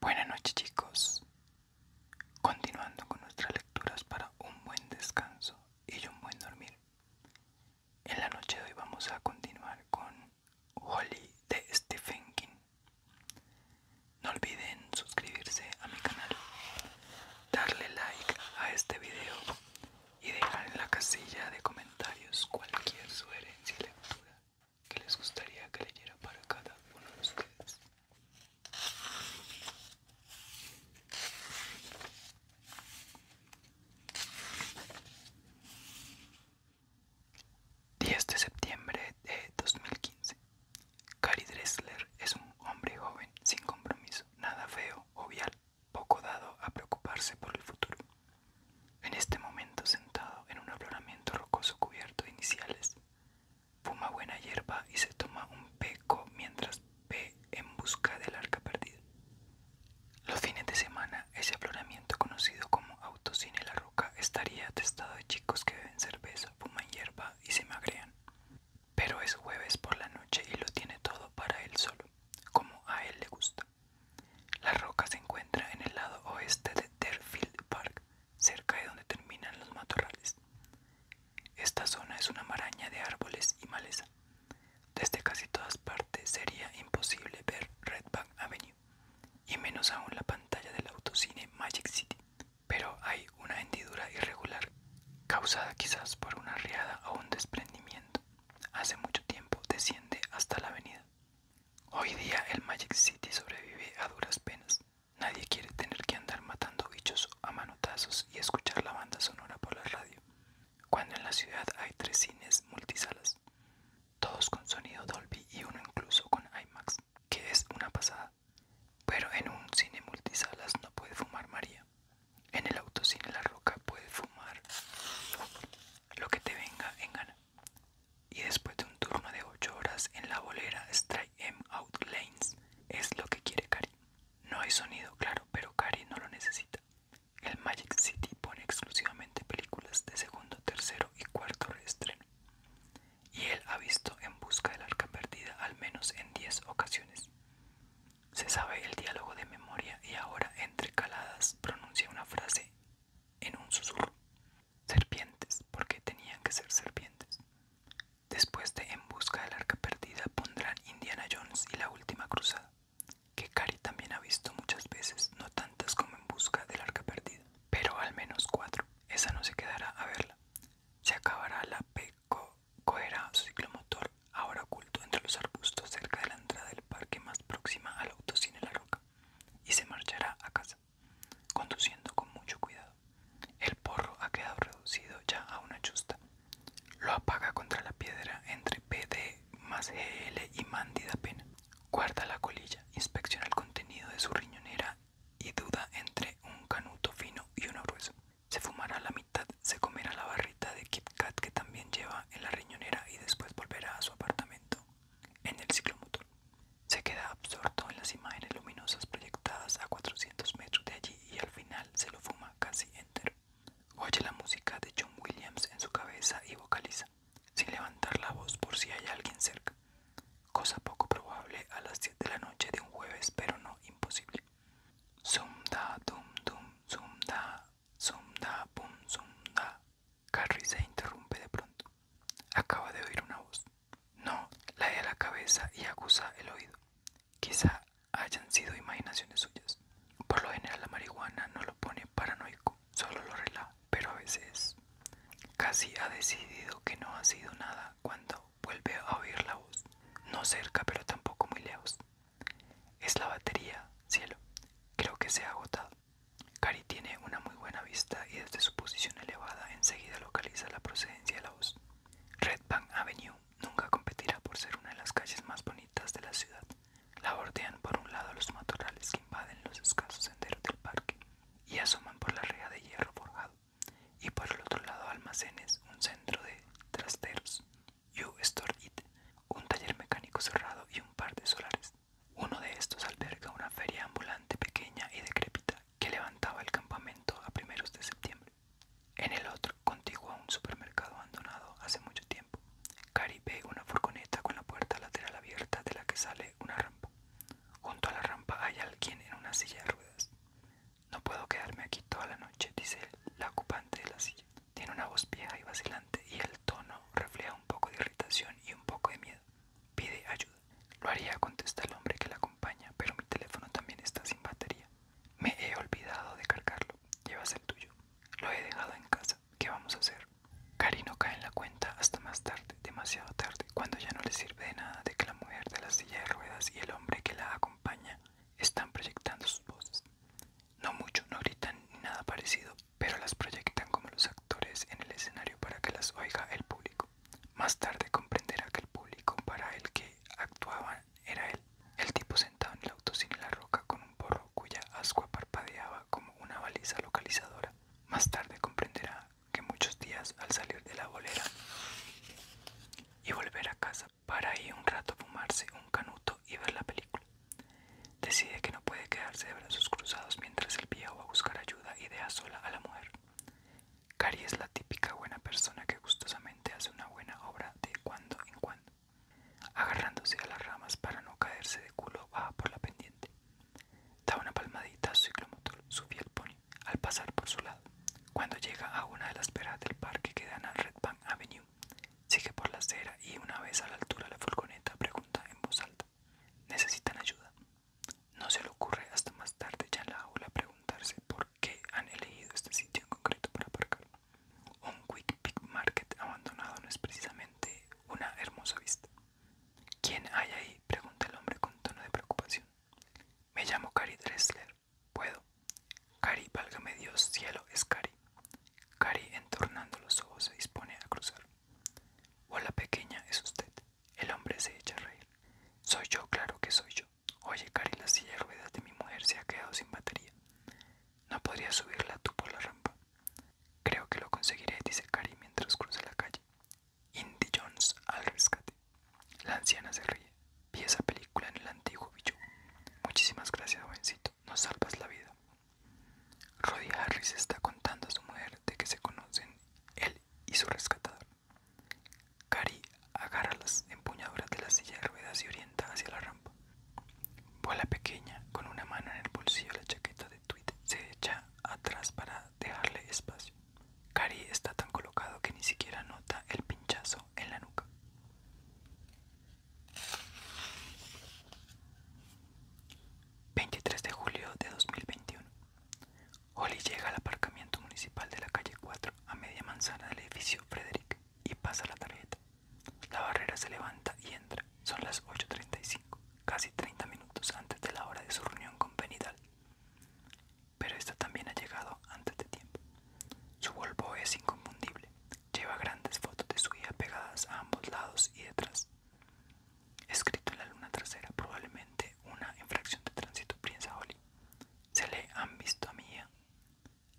Buenas noches chicos. Continuando con nuestras lecturas para un buen descanso y un buen dormir. En la noche de hoy vamos a continuar con Holly de Stephen King. No olviden suscribirse a mi canal, darle like a este video y dejar en la casilla de comentarios cualquier sugerencia y lectura ¿Qué les gustaría que leyera para cada uno de ustedes. —10 de septiembre de 2015. Kari Dressler es un hombre joven, sin compromiso, nada feo, vial, poco dado a preocuparse por el futuro en este momento sentado en un afloramiento rocoso cubierto de iniciales. Fuma buena hierba y se toma un peco mientras ve en busca del arca perdida. Los fines de semana, ese afloramiento conocido como Autocine La Roca estaría atestado de chicos que beben cerveza, fuman hierba y se magrean. Pero es jueves por la noche y lo tiene todo para él solo, como a él le gusta. La Roca se encuentra en el lado oeste de Deerfield Park, cerca de donde terminan los matorrales. Esta zona es una maraña de árboles y maleza. Desde casi todas partes sería imposible ver Redback Avenue, y menos aún la pantalla del autocine Magic City. Pero hay una hendidura irregular, causada quizás por una riada o un desprendimiento. Hace mucho tiempo desciende hasta la avenida. Hoy día el Magic City sobrevive a duras penas. Nadie quiere tener que andar matando bichos a manotazos y escuchar la banda sonora por la radio. Cuando en la ciudad hay tres cines multisalas, todos con sonido Dolby y uno incluso con IMAX, que es una pasada. Pero en un cine multisalas no puede fumar María. En el autocine La Roca puede fumar lo que te venga en gana. Y después de un turno de 8 horas en la bolera Strike M Out Lanes, es lo que quiere Kari. No hay sonido, claro, pero Kari no lo necesita. El Magic City pone exclusivamente películas de segundo, tercero y cuarto estreno, Y él ha visto En Busca del Arca Perdida al menos en 10 ocasiones. Se sabe el diálogo de memoria y ahora entre caladas pronuncia una frase en un susurro serpientes, porque tenían que ser serpientes. Después de En busca del arca perdida pondrán Indiana Jones y la última cruzada, que Cari también ha visto muchas veces, no tantas como En busca del arca perdida, pero al menos cuatro. Esa no se quedará a verla. Se acabará la peco cohera su ciclomotor, ahora oculto entre los arbustos cerca de la entrada del parque más próxima al autocine La Roca, y se marchará a casa conduciendo con mucho cuidado. El porro ha quedado reducido ya a una chusta. Lo apaga contra la piedra entre PD más GL y Mándida Pena. Guarda la colilla, inspecciona el contenido de su riñonera y duda entre un canuto fino y uno grueso. Se fumará la mitad, se comerá la barrita de Kit Kat que también lleva en la riñonera y después volverá a su apartamento en el ciclomotor. Se queda absorto en las imágenes luminosas proyectadas a 400 metros de allí y al final se lo fuma casi entero. Oye la música de John Williams en su cabeza y vocaliza, sin levantar la voz por si hay alguien cerca. Cosa poco probable a las 10 de la noche de un jueves, pero no imposible. Zum da dum dum zum da zum da bum zum da. Carrie se interrumpe de pronto. Acaba de oír una voz. No, la de la cabeza y acusa el oído. Quizá hayan sido imaginaciones suyas. Por lo general la marihuana no lo pone paranoico, solo lo relaja, pero a veces casi ha decidido que no ha sido nada cuando vuelve a oír la voz. No cerca, pero tampoco muy lejos. Es la batería, cielo. Creo que se ha agotado. Cari tiene una muy buena vista y desde su posición elevada enseguida localiza la procedencia de la voz. Red Bank Avenue nunca competirá por ser una de las calles más bonitas de la ciudad. La bordean por un lado los matorrales que invaden los escasos senderos del parque y asoman por la reja de hierro forjado, y por el otro lado almacenes, un centro de trasteros, You Store It, un taller mecánico cerrado y un par de solares. Uno de estos alberga una feria ambulante pequeña y decrépita que levantaba el campamento a primeros de septiembre. En el otro, contigua a un supermercado abandonado hace mucho tiempo, Cari ve una furgoneta con la puerta lateral abierta de la que sale una rampa. Junto a la rampa hay alguien en una silla de ruedas. No puedo quedarme aquí toda la noche, dice la ocupante de la silla. Tiene una voz vieja y vacilante y el tono refleja un poco de irritación y un poco de miedo. Pide ayuda. Lo haría, contesta el hombre que la acompaña, pero mi teléfono también está sin batería. Me he olvidado de cargarlo. Llevas el tuyo. Lo he dejado en casa. ¿Qué vamos a hacer? Cari no cae en la cuenta hasta más tarde, demasiado tarde, cuando ya no le sirve de nada de que la mujer de la silla de ruedas y el hombre que la acompaña están proyectando sus voces. No mucho, no gritan ni nada parecido, pero las proyectan como los actores en el escenario para que las oiga el público. Más tarde comprenderá que el público para el que actuaban era él, el tipo sentado en el sin La Roca con un porro cuya ascua parpadeaba como una baliza localizadora. Más tarde comprenderá que muchos días al salir de la bolera y volver a casa para ir un rato fumarse un canuto y ver la película, decide que no puede quedarse de brazos cruzados mientras el viejo va a buscar ayuda y deja sola a la mujer. Cari es la típica buena persona que gustosamente hace una buena obra de cuando en cuando. Agarrándose a las ramas para no caerse de culo, baja por la pendiente. Da una palmadita a su ciclomotor, su fiel pony, al pasar por su lado. Cuando llega a una de las peras del parque que dan al Red Bank Avenue, sigue por la acera y una vez a la altura la furgoneta pregunta en voz alta. ¿Necesitan ayuda? No se le ocurre hasta más tarde ya en la aula preguntarse por qué han elegido este sitio en concreto para aparcar. Un Quick Pick Market abandonado no es precisamente una hermosa vista. ¿Quién hay ahí? pregunta el hombre con tono de preocupación. Me llamo Cari Dressler. ¿Puedo? Cari, válgame Dios, cielo, es Cari. Cari, entornando los ojos, se dispone a cruzar. Hola pequeña, es usted. El hombre se echa a reír. Soy yo, claro que soy yo. Oye, Cari, la silla de ruedas de mi mujer se ha quedado sin batería. ¿No podría subirla tú por la rampa? Creo que lo conseguiré, dice Cari mientras cruza la calle. Indy Jones al rescate. La anciana se ríe. Vi esa película en el antiguo bicho. Muchísimas gracias, jovencito. Nos salvas la vida. Roddy Harris está contando a su mujer de que se conocen él y su rescatador. Cari agarra las empuñaduras de la silla de ruedas y orienta hacia la rampa. Bola pequeña, con una mano en el bolsillo de la chaqueta de tweed, se echa atrás para dejarle espacio. Cari está tan colocado que ni siquiera nota el pinchazo en la nuca. «23 de julio de 2021. Holly llega al aparcamiento municipal de la calle 4 a media manzana del edificio Frederick y pasa la tarjeta. La barrera se levanta y entra. Son las 8.35, casi 30 minutos antes de la hora de su reunión con Benidal, Pero esta también ha llegado antes de tiempo. Su Volvo es inconfundible. Lleva grandes fotos de su hija pegadas a ambos lados y detrás. Escrito en la luna trasera, probablemente una infracción de tránsito, piensa Holly. Se le han visto a Mia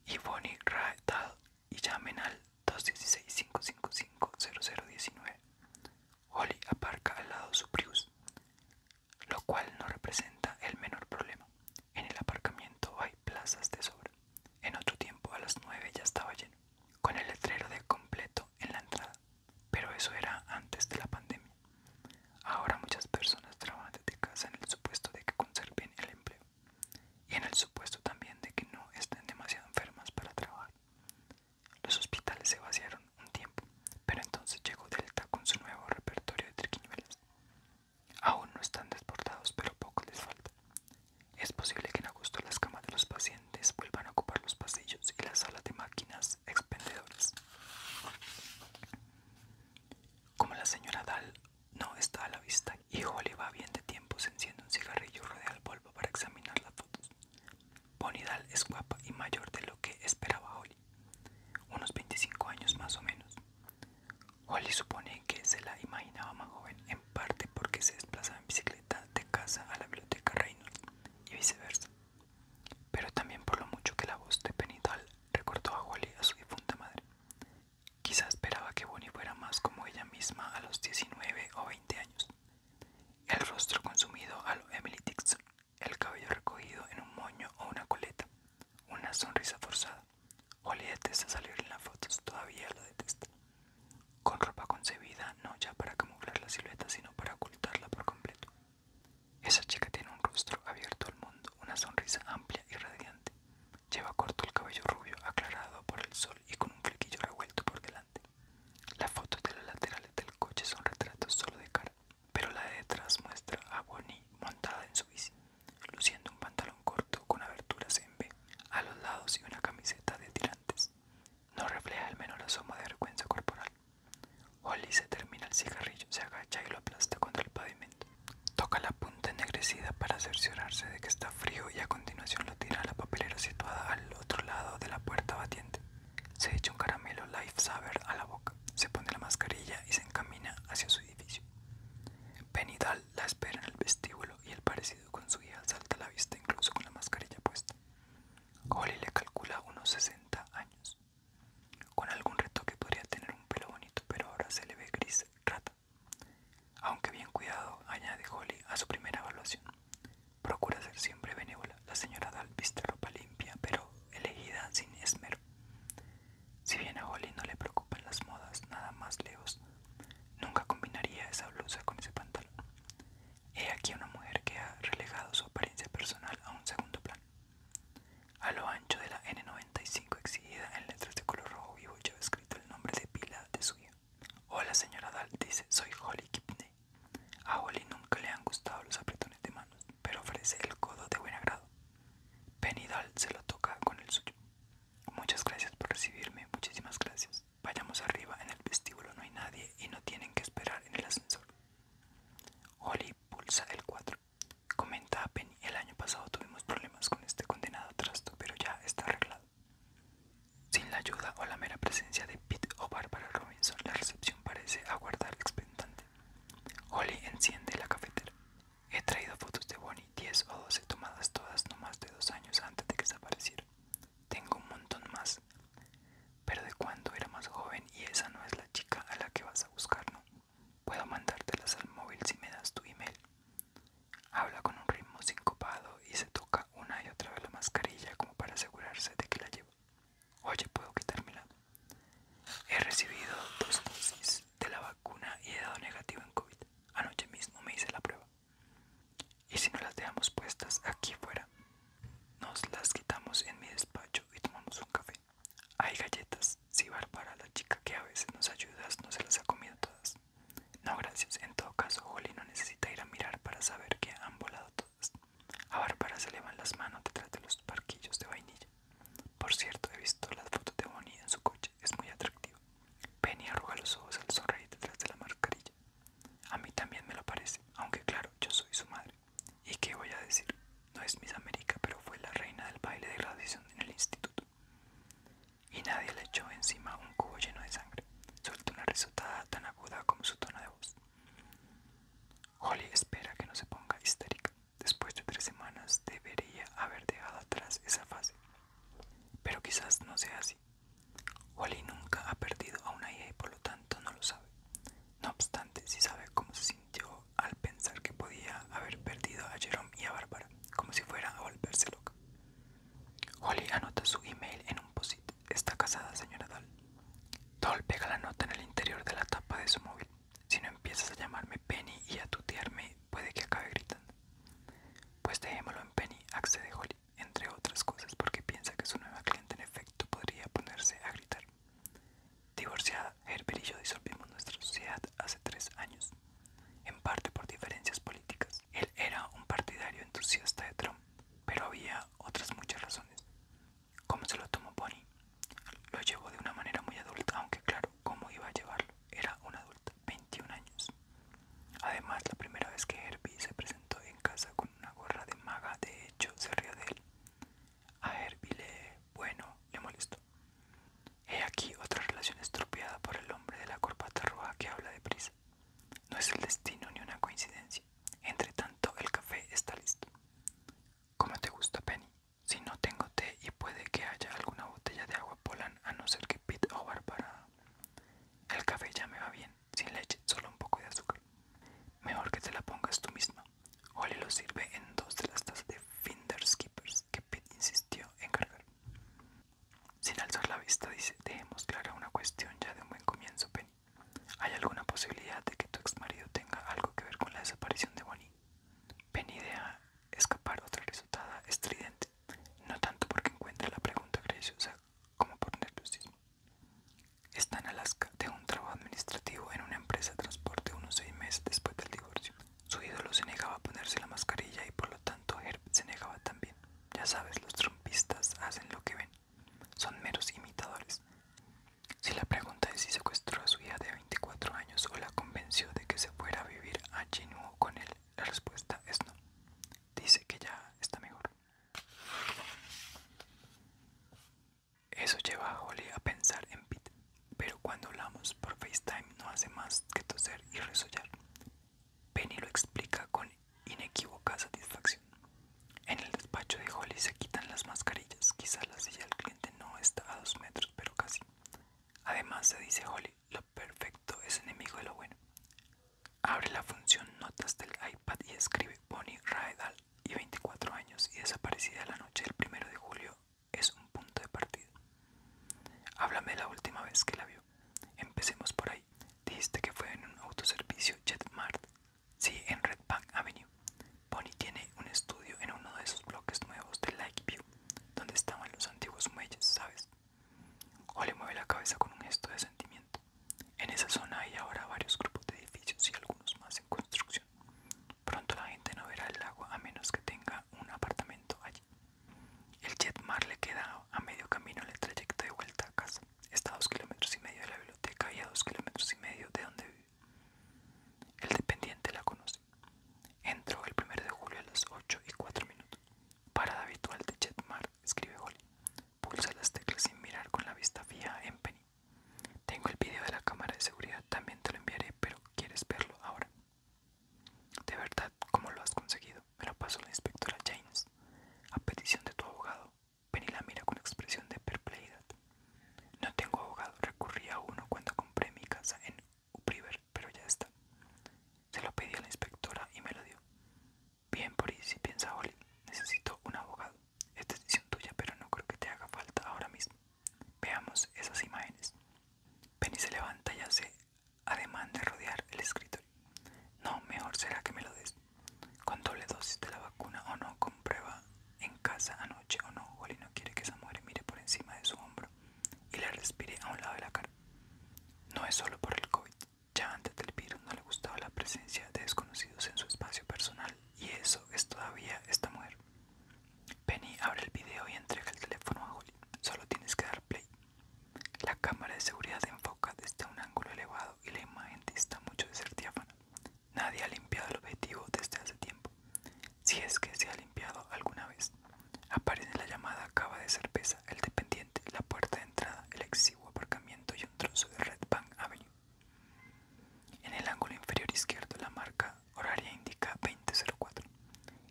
y Bonnie Raetal y llamen al 216-555-0019. Holly aparca al lado su Prius, lo cual no representa el menor problema. En el aparcamiento hay plazas de sobra. En otro tiempo, a las 9 ya estaba lleno, con el letrero de completo en la entrada. Pero eso era antes de la pandemia. Ahora muchas personas trabajan desde casa en el supuesto de que conserven el empleo y en el supuesto también de que no estén demasiado enfermas para trabajar. Los hospitales se vaciaron un tiempo, pero entonces llegó Delta con su nuevo repertorio de triquiñuelas. Aún no están desbordados, pero poco les falta. Es posible que en agosto las camas de los pacientes vuelvan a ocupar los pasillos y las salas de máquinas expendedoras. Como la señora Dal no está a la vista y Holly va bien de tiempo, se enciende un cigarrillo rodeado al polvo para examinar las fotos. Bonnie Dahl es guapa y mayor de lo que esperaba Holly, unos 25 años más o menos. Holly supone que se la imaginaba más joven, en parte porque se desplazaba en bicicleta de casa a la biblioteca Reynolds y viceversa pero también por lo mucho que la voz de Penital recordó a Holly a su difunta madre. Quizá esperaba que Bonnie fuera más como ella misma a los 19 o 20 años. El rostro consumido a lo Emily Dixon, el cabello recogido en un moño o una coleta, una sonrisa forzada. Wally detesta salir en las fotos, todavía lo detesta con ropa concebida no ya para camuflar la silueta, sino para ocultarla por completo. Esa chica tiene un rostro abierto al mundo, una sonrisa amplia y radiante. Lleva corto el cabello rubio, aclarado por el sol y con un flequillo revuelto por delante. Las fotos de los laterales del coche son retratos solo de cara, pero la de detrás muestra a Bonnie montada en su bici, luciendo un pantalón corto con aberturas en B a los lados y una camiseta de tirantes. No refleja menos menor asomo de vergüenza corporal. Holly se termina el cigarrillo, se agacha y lo aplasta contra el pavimento. Toca la punta ennegrecida para cerciorarse de que está frío y a continuación lo tira a la papelera situada al otro lado de la puerta batiente. Se echa un caramelo Life Saver a la boca, se pone la mascarilla y se encamina hacia su edificio. Benidal la espera en el vestíbulo y el parecido con su hija salta a la vista incluso con la mascarilla puesta. Holly le calcula unos 60 años. Con algún retoque podría tener un pelo bonito, pero ahora se le ve gris rata. Aunque bien cuidado, añade Holly a su primera evaluación. Procura ser siempre benévola. La señora Dahl viste ropa limpia, pero elegida sin esmero. Si bien a Holly no le preocupan las modas, nada más lejos, nunca combinaría esa blusa con ese pantalón. He aquí una mujer que ha relegado su apariencia personal a un segundo plano. A lo ancho de la N95 exhibida en letras de color rojo vivo lleva escrito el nombre de pila de su hija. Hola señora Dal, dice, soy Holly Kipney. A Holly nunca le han gustado los apretones de manos, pero ofrece el codo de buen agrado. Penny se lo toca con el suyo. Muchas gracias por recibirme, muchísimas gracias. Vayamos arriba, en el vestíbulo no hay nadie y no tienen que esperar en el ascensor. Holly pulsa el 4. Comenta a Penny, el año pasado tuvimos problemas con este condenado trasto, pero ya está arreglado. Sin la ayuda o la mera presencia de Pete o Barbara Robinson, la recepción parece aguardar expectante. Holly enciende la cafetera. He traído fotos de Bonnie, 10 o 12 tomadas todas no más de dos años antes de que desapareciera. Tengo un montón más. Pero de cuando era más joven y esa no es la chica a la que vas a buscar, ¿no? Puedo mandártelas al móvil si me das tu email. Habla con un ritmo sincopado y se toca una y otra vez la mascarilla como para asegurarse de que la llevo. Oye, ¿puedo quitármela? He recibido dos dosis de la vacuna y he dado negativo en COVID. Anoche mismo me hice la prueba y si no las dejamos puestas aquí fuera, nos las quitamos en mi despacho y tomamos un café. Hay galletas, si Bárbara, la chica que a veces nos ayuda, no se las ha comido todas. No, gracias, en todo caso, Holly no necesita ir a mirar para saber que han volado todas. A Bárbara se le van las manos detrás de los parquillos de vainilla. Por cierto, he visto las fotos de Bonnie en su coche, es muy atractivo. Penny arruga los ojos al sonreír detrás de la mascarilla. A mí también me lo parece, aunque claro, yo soy su madre. ¿Y qué voy a decir? No es Miss América, pero fue la reina del baile de graduación en el instituto. Y nadie le echó encima un cubo lleno de sangre. suelta una risotada tan aguda como su tono de voz. Holly espera que no se ponga histérica. Después de tres semanas debería haber dejado atrás esa fase. Pero quizás no sea así. Holly nunca ha perdido a una hija y por lo tanto no lo sabe. No obstante, sí sabe cómo se sintió al pensar que podía haber perdido a Jerome y a Bárbara, como si fuera a volverse loca. Holly anota su email en un post -it. Está casada, señora Doll. Doll pega la nota en el interior de la tapa de su móvil. Si no empiezas a llamarme Penny y a tutearme, puede que acabe gritando. Pues dejémoslo en Penny, accede Holly entre otras cosas porque piensa que su nueva cliente en efecto podría ponerse a gritar. Divorciada, Herbie y yo disolvimos nuestra sociedad hace tres años, en parte por diferencias políticas. Él era un partidario entusiasta de Trump, pero había otras muchas razones. ¿Cómo se lo tomó Bonnie? Lo llevó de una manera muy adulta, aunque claro, ¿cómo iba a llevarlo? Era un adulto, 21 años. Además, la primera vez que Herbie se presentó en casa una gorra de maga, de hecho, se rió de él. A ver, le... bueno, le molesto. He aquí otra relación estropeada por el hombre de la corpata roja que habla de prisa No es el destino ni una coincidencia. Entre tanto, el café está listo. ¿Cómo te gusta, Penny? Si no tengo té y puede que haya alguna botella de agua polan, a no ser que Pete o para El café ya me va bien sin leche, solo un poco de azúcar. Mejor que te la pongas tú misma. Holly lo sirve en dos de las tazas de Finders Keepers que Pete insistió en cargar. Sin alzar la vista, dice: Dejemos clara una cuestión ya de un buen comienzo, Penny. ¿Hay alguna posibilidad de que tu ex marido tenga algo que ver con la desaparición de Bonnie? Penny deja escapar otra risotada estridente, no tanto porque encuentre la pregunta graciosa como por nerviosismo. Está en Alaska de un trabajo administrativo en una empresa de transporte unos seis meses después del divorcio. Su ídolo se negaba a ponerse la mascarilla y por lo tanto Herb se negaba también. Ya sabes, los trompistas hacen lo que ven. Son meros imitadores. Si la pregunta es si secuestró a su hija de 24 años o la convenció de que se fuera a vivir a Genuo con él, la respuesta es no. Dice que ya está mejor. Eso lleva a Holly a pensar en Pete, pero cuando hablamos por FaceTime no hace más que toser y resollar. Penny lo explica con inequívoca satisfacción. En el despacho de Holly se quitan las mascarillas, quizás la silla del cliente no está a dos metros, pero casi. Además, se dice Holly, lo perfecto es enemigo de lo bueno. Abre la función Notas del iPad y escribe Bonnie Raedal y 24 años y desaparecida la noche del 1 de julio es un punto de partida. Háblame la última vez que la vio. Empecemos por ahí. Dijiste que fue en un autoservicio JetMart. Sí, en Red Bank Avenue. Bonnie tiene un estudio en uno de esos bloques nuevos de Lakeview, donde estaban los antiguos muelles, ¿sabes? O le mueve la cabeza con un gesto de sentimiento. En esa zona hay ahora varios grupos de edificios y algunos más en construcción. Pronto la gente no verá el lago a menos que tenga un apartamento allí. El Jetmar le queda a medio camino en el trayecto de vuelta a casa. Está a dos kilómetros y medio de la biblioteca y a dos kilómetros y medio de donde vive. El dependiente la conoce. Entró el 1 de julio a las 8 y 4 minutos. Parada habitual de Jetmar, escribe Holly. Pulsa las teclas sin mirar con la vista fija en Penny. Tengo el video de la cámara de seguridad, también te lo enviaré, pero ¿quieres verlo ahora? De verdad, ¿cómo lo has conseguido? Me lo pasó la inspectora James. A petición de tu abogado, Penny la mira con expresión de perplejidad. No tengo abogado, recurrí a uno cuando compré mi casa en Upriver, pero ya está. Se lo pedí a la inspectora y me lo dio. Bien, si piensa Oli. Necesito un abogado. Es decisión tuya, pero no creo que te haga falta ahora mismo. Veamos esas imágenes. Penny se levanta y hace ademán de rodear el escritorio. No, mejor será que me lo des. Con doble dosis de la vacuna o no, comprueba en casa anoche o no. Oli no quiere que esa mujer mire por encima de su hombro y le respire a un lado de la cara. No es solo por el COVID, ya antes del virus no le gustaba la presencia de desconocidos en su espacio personal y eso es todavía esta mujer. Penny abre el video y entrega el teléfono a Holly. Solo tienes que dar play. La cámara de seguridad se enfoca desde un ángulo elevado y la imagen está mucho de ser diáfana. Nadie ha limpiado el objetivo desde hace tiempo. Si es que se ha limpiado alguna vez. Aparece la llamada acaba de cerveza, el dependiente, la puerta de entrada, el exiguo aparcamiento y trozo de Red En el ángulo inferior izquierdo la marca horaria indica 2004.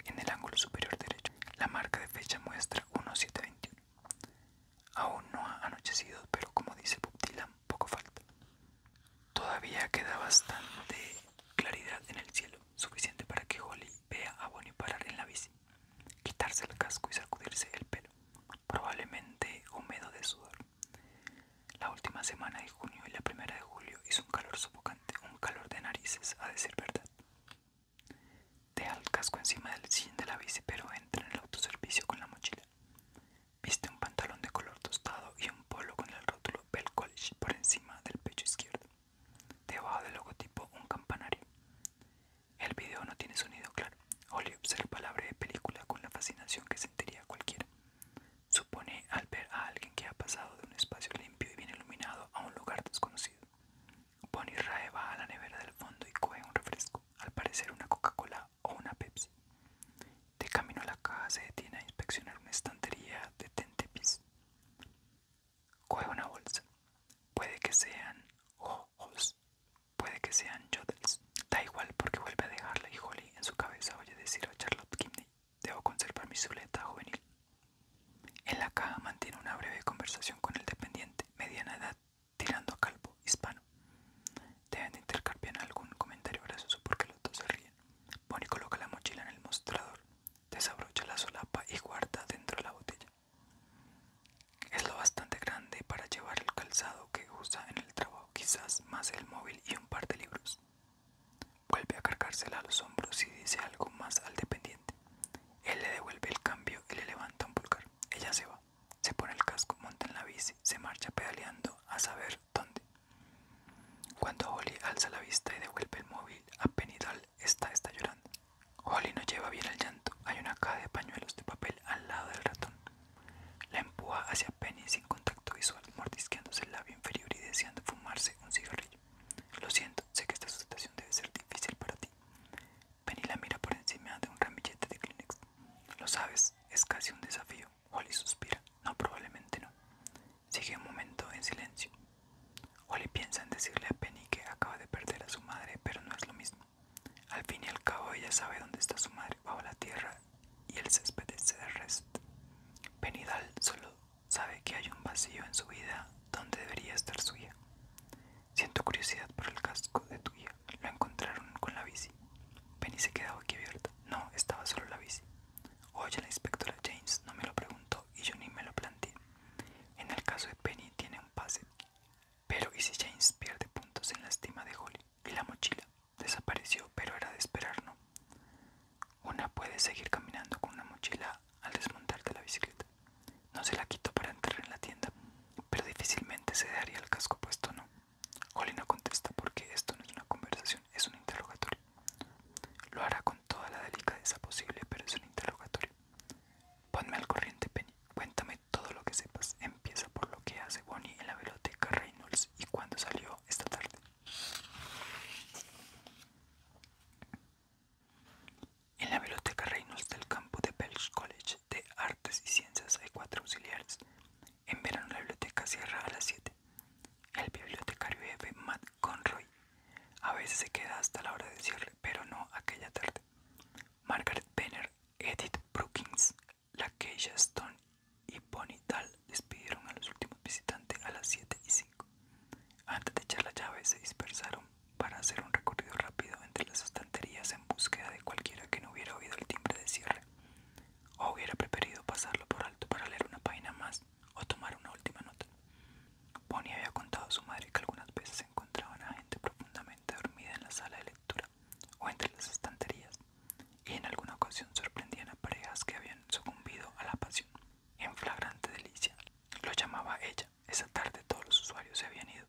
En el ángulo superior derecho la marca de fecha muestra 1721. Aún no ha anochecido, pero como dice Bob Dylan, poco falta. Todavía queda bastante claridad en el cielo, suficiente para que Holly vea a Bonnie parar en la bici, quitarse el casco y sacudirse el pelo probablemente húmedo de sudor. La última semana de junio y la primera de julio hizo un calor sofocante, un calor de narices, a decir verdad. Deja el casco encima del sillín de la bici, pero entra en el autoservicio con la mochila. Viste un pantalón de color tostado y un polo con el rótulo Bell College por encima del pecho izquierdo. Debajo del logotipo, un campanario. El video no tiene sonido claro. Holly observa la de película con la fascinación que sentiría cualquiera. Supone al ver a alguien que ha pasado de un espacio limpio y bien iluminado a un lugar desconocido. Bonnie Rae baja a la nevera del fondo y coge un refresco, al parecer una Coca-Cola o una Pepsi. De camino a la casa, se detiene a inspeccionar una estantería de Tentepis. Coge una bolsa. Puede que sean ojos Puede que sean yodels. Da igual porque vuelve a dejarla y Holly en su cabeza oye decir a Charlotte Kimney, debo conservar mi suleta juvenil. En la caja mantiene una breve conversación con el dependiente, mediana edad, tirando a calvo, hispano. Deben de intercambiar algún comentario gracioso porque los dos se ríen. Bonnie coloca la mochila en el mostrador, desabrocha la solapa y guarda dentro la botella. Es lo bastante grande para llevar el calzado que usa en el trabajo, quizás más el móvil y un par de libros. Vuelve a cargársela a los hombros y dice algo más al dependiente. Él le devuelve el cambio y le levanta un pulgar. Ella se va, se pone el casco, monta en la bici, se marcha pedaleando a saber dónde. Cuando Holly alza la vista y devuelve el móvil, a Penidal está, está llorando. Holly no lleva bien el llanto. Hay una caja de pañuelos de papel al lado del ratón. La empuja hacia Penny sin contacto visual, mordisqueándose el labio inferior y deseando fumarse un cigarrillo. Lo siento, sé que esta situación debe ser difícil para ti. Penny la mira por encima de un ramillete de Kleenex. Lo sabes, es casi un desafío. Holly suspira. No, probablemente no. Sigue un momento en silencio. Holly piensa en decirle a Penny que acaba de perder a su madre, pero no es lo mismo. Al fin y al cabo ella sabe dónde está su madre bajo la tierra y el césped de rest. Penidal solo sabe que hay un vacío en su vida donde debería estar suya. Siento curiosidad por el casco de tu tuya. Lo encontraron con la bici. Penny se quedó aquí abierta. No, estaba solo la bici. Oye, la inspectora James no me lo preguntó y yo ni me lo planteé. En el caso de Penny tiene un pase pero y si James pierde puntos en la estima de Holly y la mochila desapareció, pero era de esperar, ¿no? Una puede seguir caminando con una mochila al desmontar de la bicicleta. No se la quitó para entrar en la tienda, pero difícilmente se daría el casco puesto, ¿no? Holly no contesta porque esto no es una conversación, es un interrogatorio. Lo hará con toda la delicadeza posible, pero es un interrogatorio. Ponme al corriente, Penny. Cuéntame todo lo que sepas empieza por lo que hace Bonnie en la biblioteca Reynolds y cuando salió esta tarde. En la biblioteca Reynolds del campo de Belch College de Artes y Ciencias hay cuatro auxiliares. En verano la biblioteca cierra a las 7. El bibliotecario jefe Matt Conroy a veces se queda hasta la hora de cierre, pero no aquella tarde. Margaret Benner, Edith Brookings, Lakeisha Stone y Bonnie Dahl despidieron a los últimos visitantes a las 7 y 5. Antes de echar la llave se dispersaron para hacer un recorrido rápido entre las estanterías en búsqueda de cualquiera que no hubiera oído el timbre de cierre, o hubiera preferido pasarlo por alto para leer una página más o tomar una última nota. Bonnie había contado a su madre que algunas veces se encontraban a gente profundamente dormida en la sala de lectura o entre las estanterías, y en alguna ocasión sorprendían a parejas que habían sucumbido a la pasión. En flagrante delicia, lo llamaba ella. Esa tarde todos los usuarios se habían ido.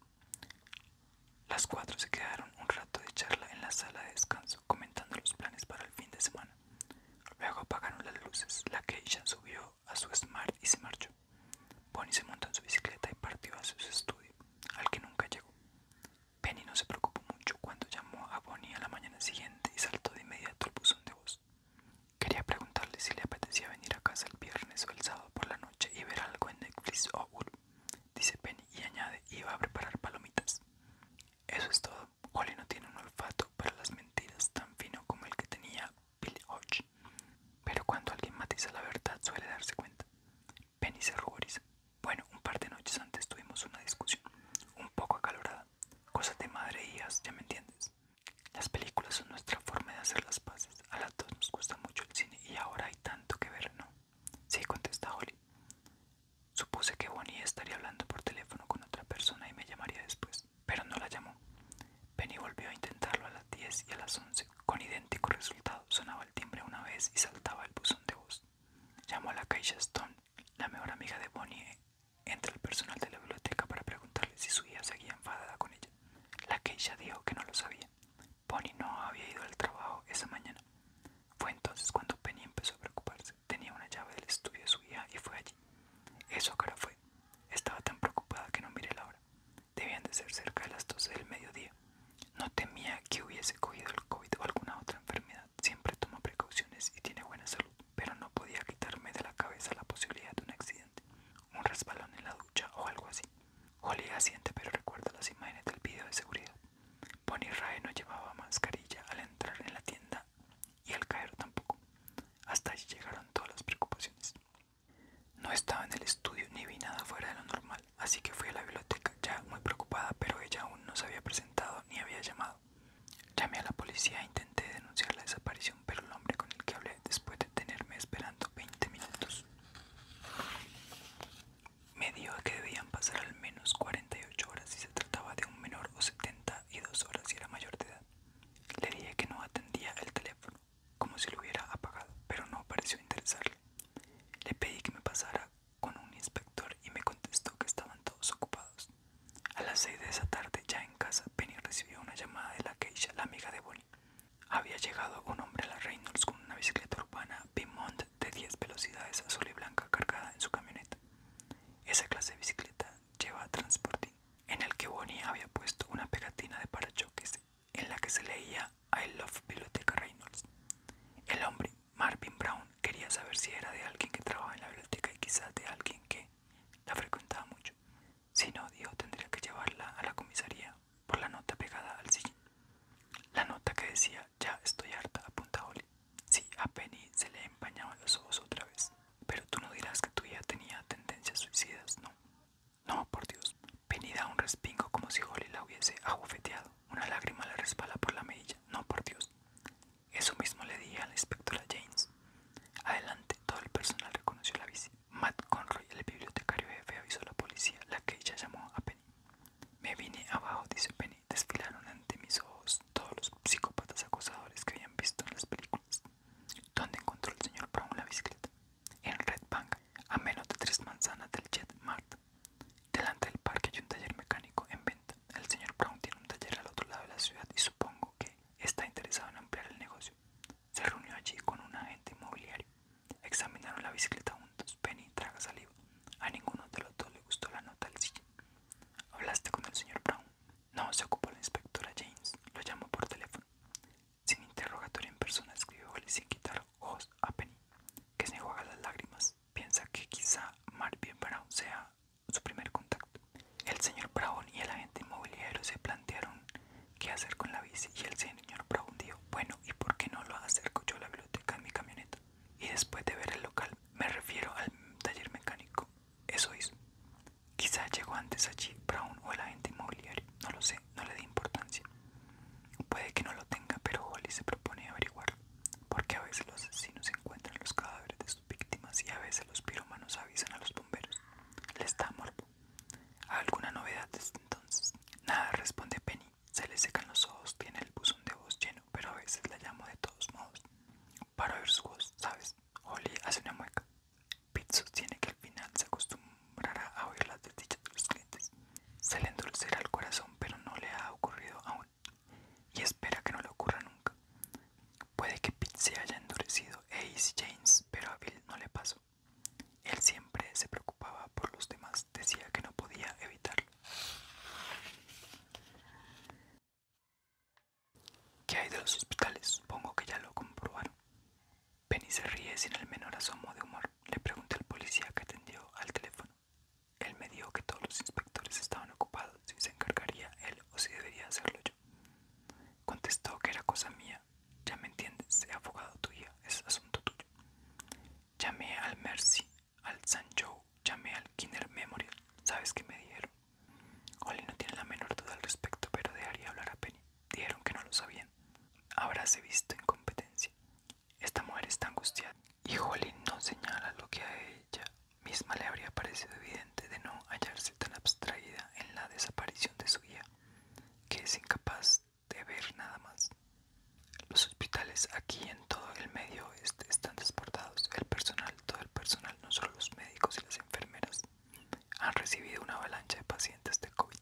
Las cuatro se quedaron un rato de charla en la sala de descanso, comentando los planes para el fin de semana. Luego apagaron las luces, la ya subió a su smart y se marchó. Bonnie se montó en su bicicleta y partió a su estudio, al que nunca llegó. Penny no se preocupó mucho cuando llamó a Bonnie a la mañana siguiente y saltó de inmediato al buzón de voz. Quería preguntarle si le apetecía venir a casa el viernes o el sábado por la noche y ver algo en Netflix o Hulu, dice Penny y añade iba a preparar palomitas. Eso es todo. Holly no tiene un olfato para las mentiras tan fino como el que tenía Billy Hodge, pero cuando alguien matiza la verdad suele darse cuenta. Penny se ruboriza. Bueno, un par de noches antes tuvimos una discusión, un poco acalorada. Cosas de madre y ya me entiendes. Las películas son nuestra forma de hacer las paces. A las dos nos gusta mucho el cine y ahora hay tanto que ver, ¿no? Sí, contesta Holly. Supuse que Bonnie estaría hablando por teléfono con otra persona y me llamaría después, pero no la llamó. Penny volvió a intentarlo a las 10 y a las 11. Con idéntico resultado, sonaba el timbre una vez y saltaba el buzón de voz. Llamó a la caixa Stone, la mejor amiga de Bonnie, entre el personal de la biblioteca para preguntarle si su hija seguía enfadada con ella. La Keisha dijo que no lo sabía. Bonnie no había ido al trabajo esa mañana. Fue entonces cuando Penny empezó a preocuparse. Tenía una llave del estudio de su hija y fue allí. Eso ahora fue. Estaba tan preocupada que no miré la hora. Debían de ser cerca de las 12 del mediodía. No temía que hubiese cogido el COVID o alguna otra enfermedad. Siempre toma precauciones y tiene buena salud, pero no podía quitarme de la cabeza la posibilidad de un accidente, un resbalón en la ducha o algo así. Jolie asiente, pero recuerda las imágenes del video de seguridad. Bonnie Rae no llevaba mascarilla al entrar en la tienda y al caer tampoco. Hasta allí llegaron todas las preocupaciones. No estaba en el estudio ni vi nada fuera de lo normal, así que fui a la biblioteca ya muy preocupada, pero ella aún no se había presentado ni había llamado. Llamé a la policía e intenté denunciar la desaparición, pero el hombre con el que hablé después de tenerme esperando 20 minutos me dijo que debían pasar al menos 48 horas si se trataba de un menor o 72 horas si era mayor de edad. Le dije que no atendía el teléfono, como si lo hubiera apagado, pero no pareció interesarle. Le pedí que me pasara con un inspector y me contestó que estaban todos ocupados. A las 6 de esa tarde, ya en casa, Penny recibió una llamada de la Keisha, la amiga de Bonnie. Había llegado un hombre a la Reynolds con una bicicleta urbana Pimont de 10 velocidades azul y blanca cargada en su camioneta. Esa clase de bicicleta lleva transportín, en el que Bonnie había puesto una pegatina de parachoques en la que se leía I Love Biblioteca Reynolds. El hombre, Marvin Brown, quería saber si era de alguien que trabajaba en la biblioteca y quizás de alguien que la frecuentaba mucho. Si no, dijo, tendría que llevarla a la comisaría por la nota pegada al sillín. La nota que decía, ya estoy harta, apunta Holly. Sí, a Penny se le empañaban los ojos otra vez. Pero tú no dirás que tu hija tenía tendencias suicidas, ¿no? No, por Dios. Penny da un respingo como si Holly la hubiese abofeteado. Una lágrima le resbala por la mejilla. No, por Dios. Eso mismo le dije a la inspectora James. Adelante, todo el personal reconoció la bici. Matt Conroy, el bibliotecario jefe, avisó a la policía, la que ella llamó a Penny. Me vine abajo, dice Penny. Desfilaron ante mis ojos todos los psicópatas acosadores que habían visto en las películas. ¿Dónde encontró el señor Brown la bicicleta? en Red Bank, a menos de tres manzanas del Jet Mart. Delante del parque hay un taller mecánico en venta. El señor Brown tiene un taller al otro lado de la ciudad y supongo que está interesado en ampliar el negocio. Se reunió allí con un agente inmobiliario. Examinaron la bicicleta juntos. Penny traga saliva. A ninguno de los dos le gustó la nota del sillín. ¿Hablaste con el señor Brown? No, se ocupó la inspectora James. Lo llamó por teléfono. Sin interrogatorio en persona escribió sin quitar ojos a Penny, que se juega las lágrimas. Piensa que quizá Marvin Brown sea su primer contacto. El señor Brown y el agente inmobiliario se plantearon qué hacer con la bici y el señor Brown dijo, bueno, ¿y por qué no lo acerco yo a la biblioteca en mi camioneta? Y después de ver el local, me refiero al taller mecánico. Eso hizo. Quizá llegó antes allí Brown o el agente inmobiliario, no lo sé no le dé importancia. Puede que no lo tenga, pero Holly se propone averiguar, porque a veces los asesinos encuentran los cadáveres de sus víctimas y a veces los piromanos avisan a los bomberos. Le está morbo. ¿Alguna novedad desde entonces? Nada, responde Penny. Se le secan los ojos, tiene el buzón de voz lleno, pero a veces la llamo de todos modos. Para ver su voz, ¿sabes? Holly hace una mueca. Pete tiene que al final se acostumbra a oír las desdichas de los clientes. Se le endulcerá el corazón, pero no le ha ocurrido aún y espera que no le ocurra nunca. Puede que Pete se haya endurecido e Ace y James, pero a Bill no le pasó. Él siempre se preocupaba por los demás, decía que no podía evitarlo. ¿Qué hay de los hospitales? Supongo que ya lo comprobaron. Penny se ríe sin el menor asomo de humor. Le pregunté al policía que atendió al teléfono. Él me dijo que todos los inspectores estaban ocupados si se encargaría él o si debería hacerlo yo. Contestó que era cosa mía. Ya me entiendes, he abogado tuya, es asunto tuyo. Llamé al Mercy, al San Joe, llamé al Kinder Memorial. ¿Sabes qué me dijeron? Oli no tiene la menor duda al respecto, pero dejaría hablar a Penny. Dijeron que no lo sabían. Habráse visto en competencia. Esta mujer está angustiada. Y Jolie no señala lo que a ella misma le habría parecido evidente de no hallarse tan abstraída en la desaparición de su guía, que es incapaz de ver nada más. Los hospitales aquí en todo el medio están desbordados. El personal, todo el personal, no solo los médicos y las enfermeras, han recibido una avalancha de pacientes de COVID.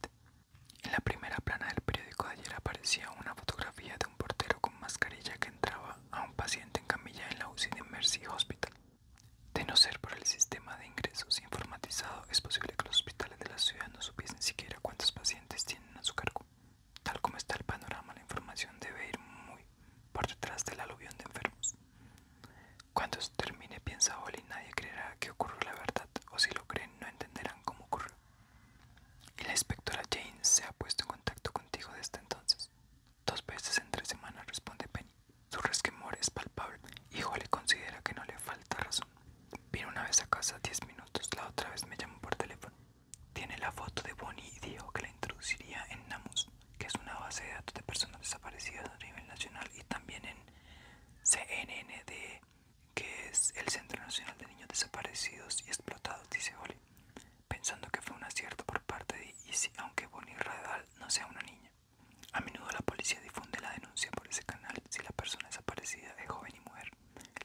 En la primera plana del periódico de ayer aparecía una fotografía de un portero con mascarilla que entraba a un paciente en camilla en la UCI de Mercy Hospital. De no ser por el sistema de ingresos informatizado, es posible que los hospitales de la ciudad no supiesen siquiera cuántos pacientes tienen a su cargo. Tal como está el panorama, la información debe ir muy por detrás del aluvión de enfermos. Cuando termine, piensa Oli, nadie creerá que ocurrió la verdad, o si lo creen, no entenderán cómo ocurrió. Y la inspectora Jane se ha puesto en contacto contigo desde entonces. Dos veces en tres semanas, responde Penny. Su resquemor es palpable. Hijo le considera que no le falta razón. Vino una vez a casa diez minutos, la otra vez me llamó por teléfono. Tiene la foto de Bonnie y dijo que la introduciría en Namus, que es una base de datos de personas desaparecidas a nivel nacional y también en CNN de que es el Centro Nacional de Niños Desaparecidos y Explotados, dice Oli, pensando que fue un acierto por parte de Isi aunque Bonnie Radal no sea una niña. A menudo la policía difunde la denuncia por ese canal si la persona desaparecida es joven y mujer.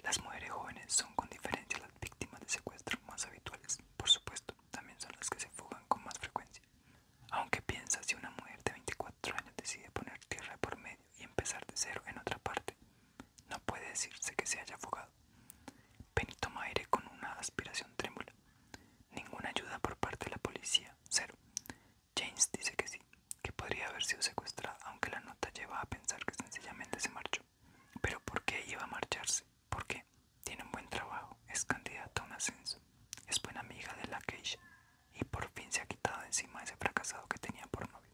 Las mujeres jóvenes son con diferencia las víctimas de secuestro más habituales, por supuesto, también son las que se fugan con más frecuencia. Aunque piensa si una mujer de 24 años decide poner tierra por medio, y empezar de cero en otra parte. No puede decirse que se haya afogado. Benito toma aire con una aspiración trémula. Ninguna ayuda por parte de la policía, cero. James dice que sí, que podría haber sido secuestrado aunque la nota lleva a pensar que sencillamente se marchó. Pero ¿por qué iba a marcharse? ¿Por qué? Tiene un buen trabajo, es candidata a un ascenso, es buena amiga de la Keisha, y por fin se ha quitado encima ese fracasado que tenía por novio.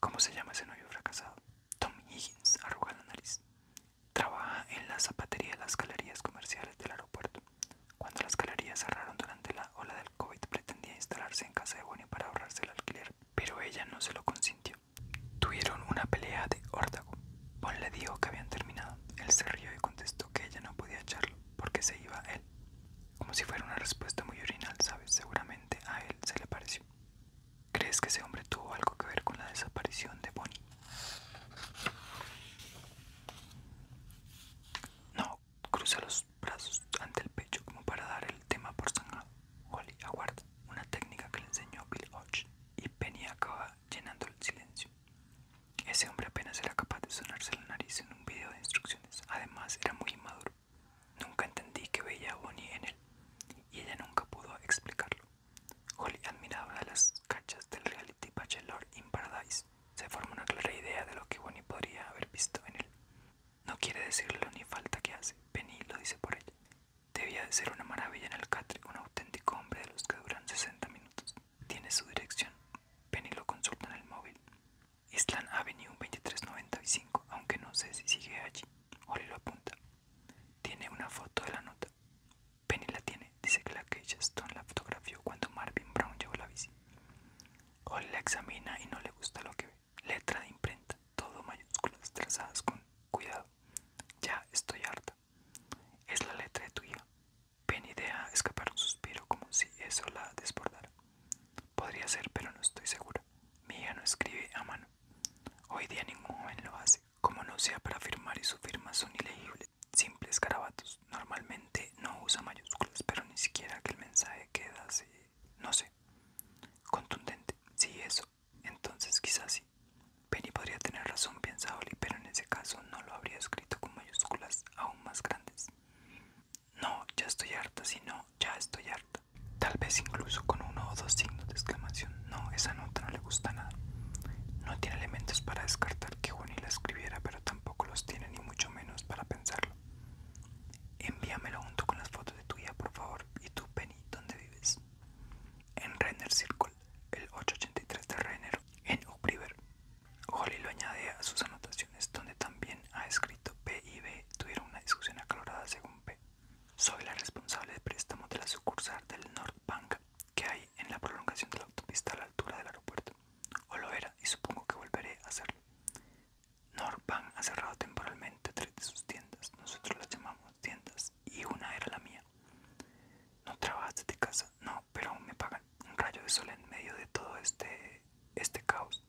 ¿Cómo se llama ese novio fracasado? Tom Higgins arruga la nariz. Trabaja en la zapatería de las galerías comerciales del aeropuerto. Cuando las galerías cerraron durante la ola del COVID, pretendía instalarse en casa de Bonnie para ahorrarse el alquiler, pero ella no se lo consintió. Tuvieron una pelea de órdago. Bonnie le dijo que habían terminado. Él se rió y contestó que ella no podía echarlo porque se iba él. Como si fuera una respuesta muy original, ¿sabes? Seguramente a él se le pareció. ¿Crees que ese hombre tuvo algo que ver con la desaparición de Bonnie? No, cruza los brazos ante el pecho como para dar el tema por zanjado. Holly aguarda, una técnica que le enseñó Bill Hodge, y Penny acaba llenando el silencio. Ese hombre apenas era capaz de sonarse la nariz en un video de instrucciones, además era muy inmaduro. Nunca entendí que veía a Bonnie en él, y ella nunca pudo explicarlo. Holly admiraba las cachas del reality Bachelor in Paradise. Se forma una clara idea de lo que Bonnie podría haber visto en él. No quiere decirlo ni falta que hace, Penny lo dice por ella. Debía de ser una maravilla en el catre, un auténtico hombre de los que duran 60 minutos. Tiene su dirección, Penny lo consulta en el móvil. Island Avenue 2395, aunque no sé si sigue allí. Oli lo apunta. Tiene una foto de la nota. Penny la tiene. Dice que la que en la fotografió cuando Marvin Brown llevó la bici. Oli la examina y no le gusta lo que ve. Letra de imprenta, todo mayúsculas trazadas con cuidado. Ya estoy harta. Es la letra de tu hija. Penny deja escapar un suspiro como si eso la desbordara. Podría ser, pero no estoy segura. Mi hija no escribe a mano. Hoy día ningún joven lo hace. Como no sea para firmar y su firma son ilegibles, simples garabatos. Normalmente no usa mayúsculas, pero ni siquiera que el mensaje queda así, no sé, contundente. Si eso, entonces quizás sí. Penny podría tener razón, piensa pero en ese caso no lo habría escrito con mayúsculas aún más grandes no, ya estoy harta, si no, ya estoy harta. Tal vez incluso con uno o dos signos de exclamación. No, esa nota no le gusta nada. No tiene elementos para descartar que y la escribiera, pero tampoco los tiene ni mucho menos para pensarlo. Envíamelo junto con las fotos de tu por favor. Y tú, Penny, ¿dónde vives? En Renner Circle, el 883 de Renner, en Upriver. Holly lo añade a sus anotaciones donde también ha escrito P y B tuvieron una discusión acalorada según P. Soy la responsable de préstamo de la sucursal del North que hay en la prolongación de la autopista a la altura del aeropuerto. O lo era y supongo que volveré a hacerlo. Northbank ha cerrado temporalmente tres de sus tiendas. Nosotros las llamamos tiendas y una era la mía. ¿No trabajas de casa? No, pero aún me pagan. Un rayo de sol en medio de todo este este caos.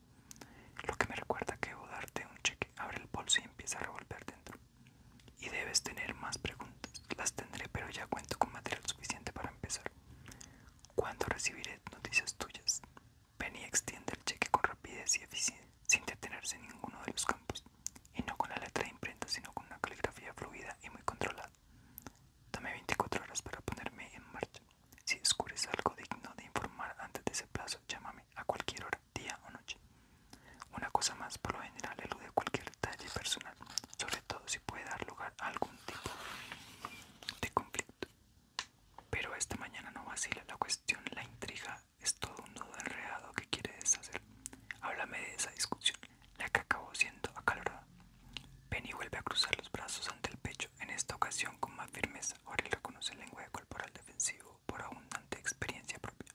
Lo que me recuerda que debo darte un cheque. Abre el bolso y empieza a revolver dentro. Y debes tener más preguntas. Las tendré, pero ya cuento con material suficiente para empezar. ¿Cuándo recibiré noticias tuyas? ven y extiende el cheque con rapidez y eficiencia, sin detenerse en ninguno de los campos. Y no con la letra de imprenta, sino con una caligrafía fluida y muy controlada. Dame 24 horas para ponerme en marcha. Si descubres algo digno de informar antes de ese plazo, llámame a cualquier hora, día o noche. Una cosa más, por lo general, elude cualquier detalle personal, sobre todo si puede dar lugar a algún tipo de conflicto. Pero esta mañana no vacila la cuestión, la intriga es todo un nudo enredado que quiere deshacer. Háblame de esa discusión, la que acabó siendo acalorada. Penny vuelve a cruzar los brazos ante el pecho, en esta ocasión con más firmeza. Orel reconoce lengua lenguaje corporal defensivo por abundante experiencia propia.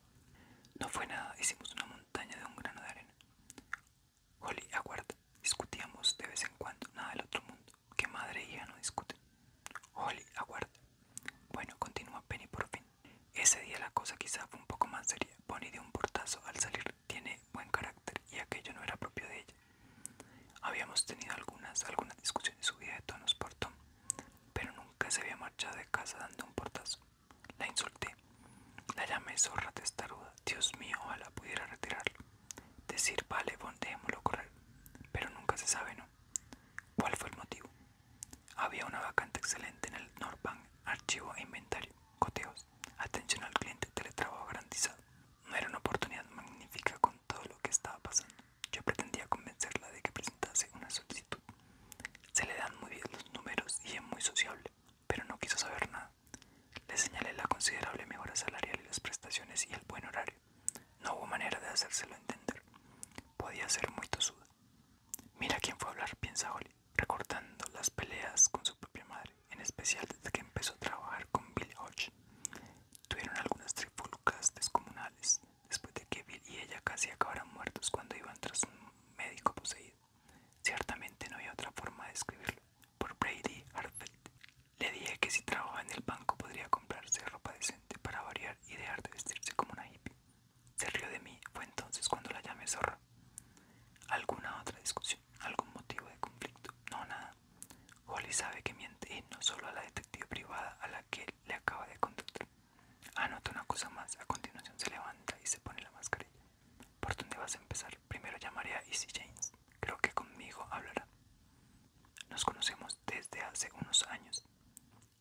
No fue nada, hicimos una montaña de un grano de arena. Holly, aguarda. Discutíamos de vez en cuando, nada del otro mundo. Que madre ya e no discuten. Holly, aguarda. Bueno, continúa Penny por fin. Ese día la cosa quizá fue un poco más seria. Bonnie dio un portazo al salir. Tiene buen carácter y aquello no era propio de ella. Habíamos tenido algunas, algunas discusiones subida de tonos por Tom, pero nunca se había marchado de casa dando un portazo. La insulté, la llamé zorra testaruda. Dios mío, ojalá pudiera retirarlo. Decir, vale, bon, dejémoslo correr, pero nunca se sabe, ¿no? ¿Cuál fue el motivo? Había una vacante excelente en el Norbank, archivo e inventario, coteos, atención al cliente, teletrabajo garantizado. No era una oportunidad magnífica con todo lo que estaba pasando. Yo pretendía convencerla de que presentase una solicitud. Se le dan muy bien los números y es muy sociable, pero no quiso saber nada. Le señalé la considerable mejora salarial y las prestaciones y el buen horario. No hubo manera de hacérselo entender. Podía ser muy tosuda. Mira quién fue a hablar, piensa Holly, recordando las peleas con su propia madre, en especial desde que empezó a trabajar con Bill Hodge. Tuvieron algunas trifulcas descomunales, después de que Bill y ella casi acabaran muertos cuando iban tras un médico poseído. Ciertamente no había otra forma de escribirlo. Por Brady Hartfeld. Le dije que si trabajaba en el banco podría comprarse ropa decente para variar y dejar de vestirse como una hippie. Se rió de mí, fue entonces cuando la llamé zorra. ¿Alguna otra discusión? ¿Algún motivo de conflicto? No, nada. Holly sabe que miente y no solo a la detective privada a la que le acaba de contactar Anota una cosa más, a continuación se levanta y se pone la mascarilla. ¿Por dónde vas a empezar? Primero llamaré a Easy James. Creo que conmigo hablará. Nos conocemos desde hace unos años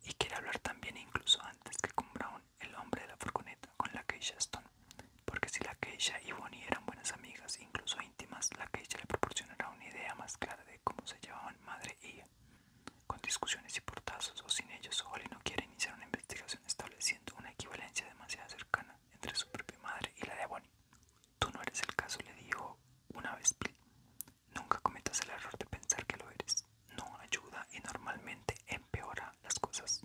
y quiere hablar también incluso antes que con Brown, el hombre de la furgoneta, con la Keisha Stone. Porque si la Keisha y Bonnie eran buenas amigas incluso íntimas, la que ella le proporcionará una idea más clara de cómo se llevaban madre y hija. Con discusiones y portazos o sin ellos, Holly no quiere iniciar una investigación estableciendo una equivalencia demasiado cercana entre su propia madre y la de Bonnie. Tú no eres el caso, le dijo una vez Nunca cometas el error de pensar que lo eres. No ayuda y normalmente empeora las cosas.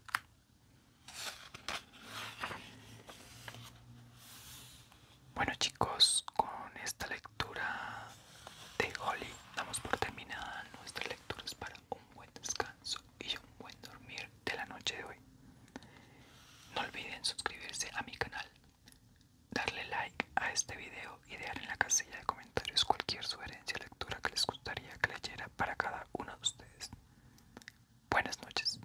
Bueno chicos, con esta lectura de Holly damos por terminada nuestras lecturas para un buen descanso y un buen dormir de la noche de hoy. No olviden suscribirse a mi canal, darle like a este video y dejar en la casilla de comentarios cualquier sugerencia o lectura que les gustaría que leyera para cada uno de ustedes. Buenas noches.